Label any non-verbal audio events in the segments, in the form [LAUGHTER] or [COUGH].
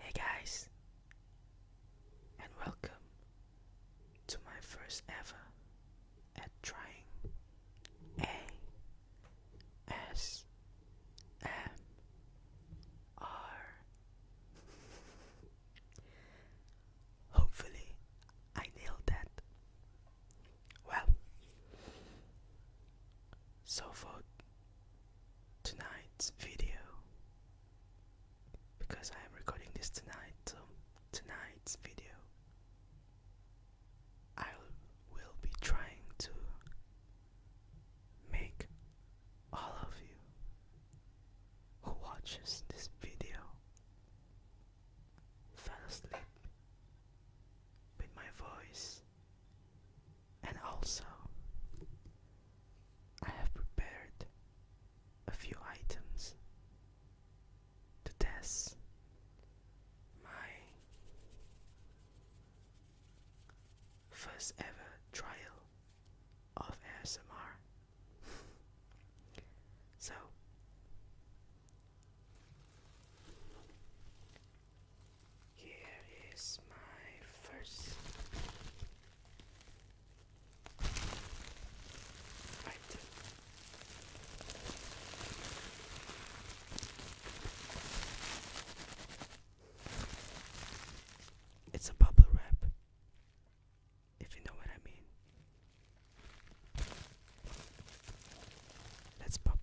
Hey guys, and welcome to my first ever at trying A S M R. Hopefully, I nailed that. Well, so for tonight's video, because I am recording this tonight, so tonight's video, I will be trying to make all of you who watches this video fell asleep with my voice, and also I have prepared a few items to test my first ever trial of ASMR so here is my first item. It's a bubble wrap if you know what I mean. Let's pop up.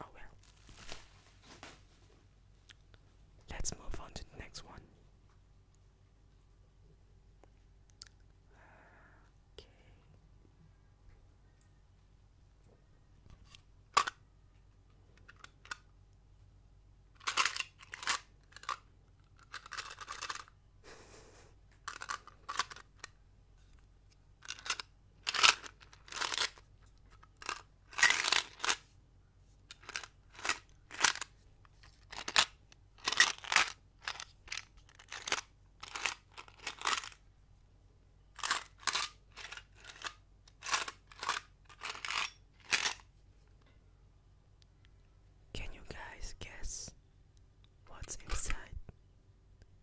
Oh well. Let's move on to the next one. Okay. Can you guys guess what's inside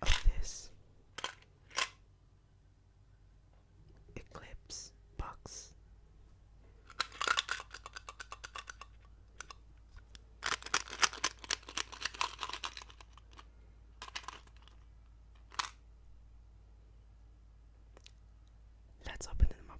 of this? Eclipse box. Let's open them up.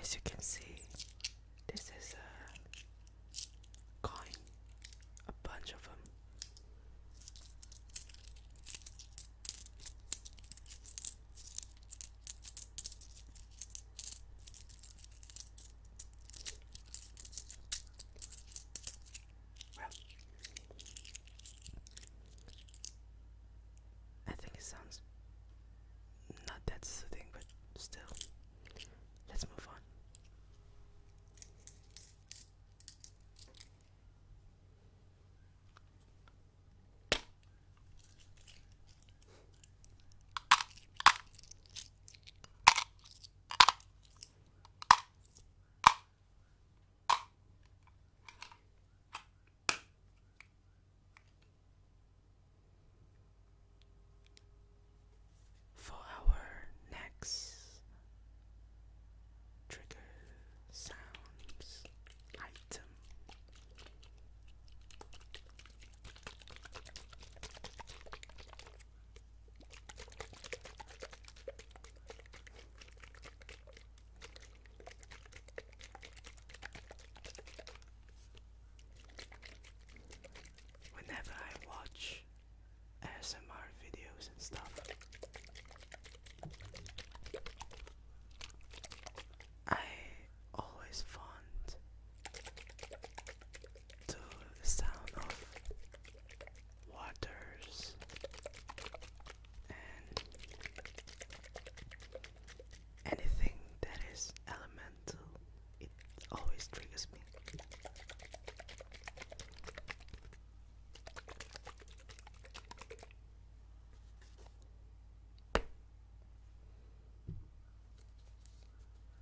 As you can see, this is a coin, a bunch of them. Well, I think it sounds not that soothing, but still, let's move on. For our next trigger sounds item. Whenever I watch ASMR videos and stuff, I always find to the sound of waters and anything that is elemental it always triggers me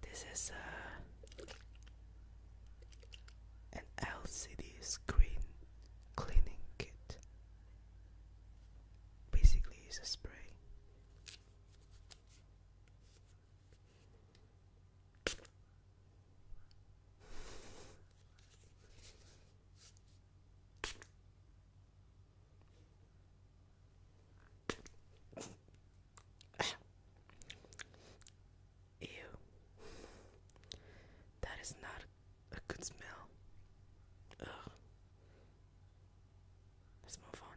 this is a uh, an LCD screen cleaning kit. Basically, it's a spray. Ew. That is not a good smell. Ugh. Let's move on.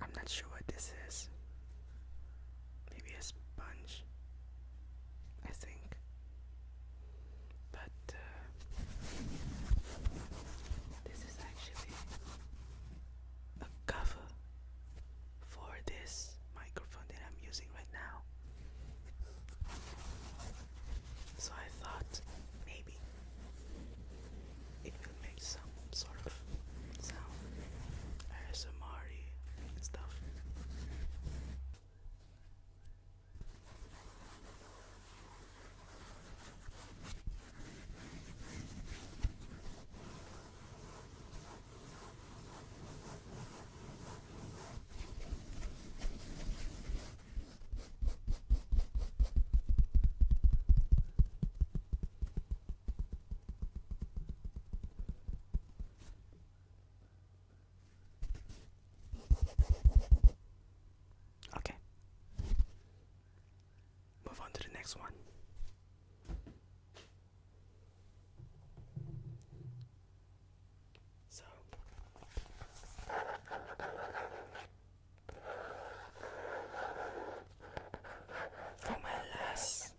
I'm not sure what this is. Maybe a sponge, I think. But uh, this is actually a cover for this microphone that I'm using right now. So I thought maybe it will make some sort of sound ASMR stuff. Okay. Move on to the next one. So for my last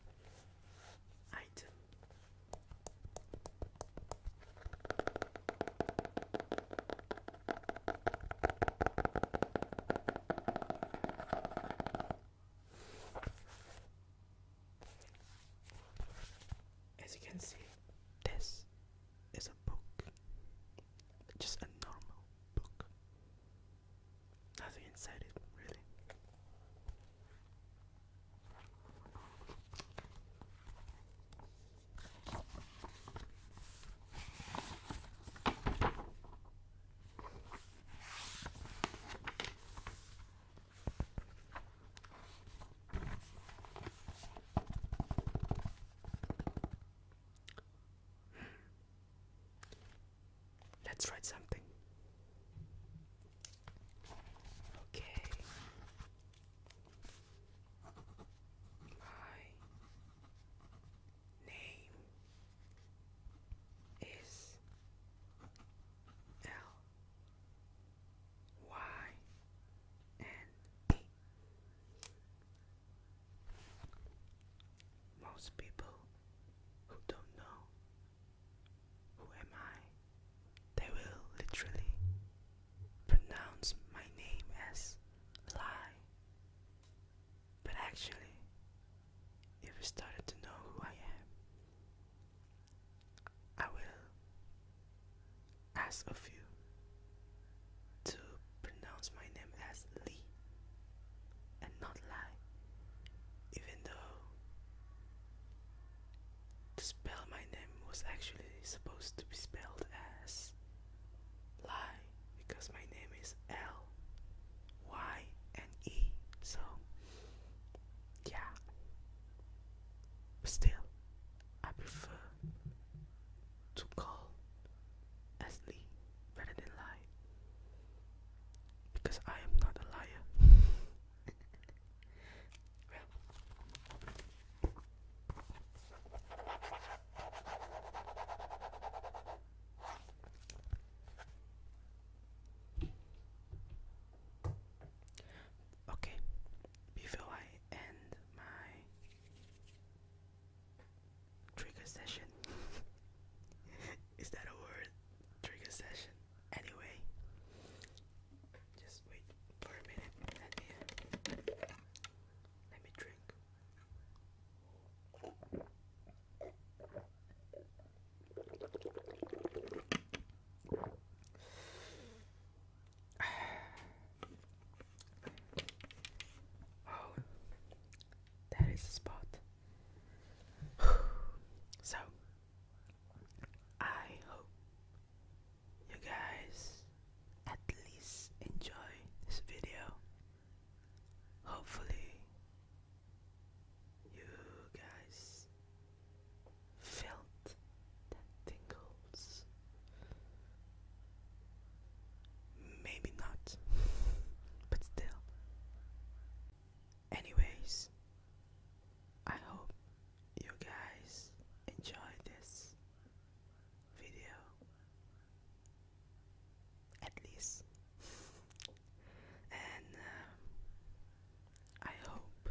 item, as you can see, this is a book, just a normal book nothing inside it, really. Let's write something. Okay. My name is L Y N E. Most people who don't know who am I, they will literally pronounce my name as lie. But actually, if you started to know who I am, I will ask of you to pronounce my name as Lee and not Lai, even though to spell my name was actually supposed to be spelled as Lai because my name is L Y and E, so yeah, but still, I prefer to call Ashley rather than lie. Because I am not a liar. [LAUGHS] Okay, before I end my trigger session. [LAUGHS] Is that a word? Trigger session. Anyway, just wait for a minute. Let me let me drink. [SIGHS] Oh, that is the spot. [SIGHS] so, I hope you guys at least enjoy this video. Hopefully, you guys felt that tingles Maybe not, [LAUGHS] but still. Anyways, I hope you guys enjoy this video. At least. [LAUGHS] and uh, I hope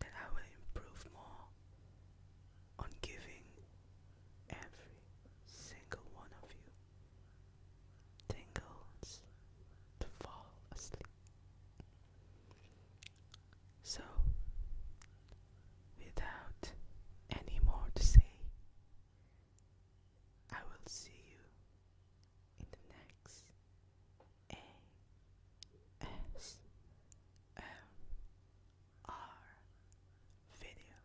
that I will improve more on giving every single one of you tingles to fall asleep. So, without any more to say, I will see you in the next ASMR our video.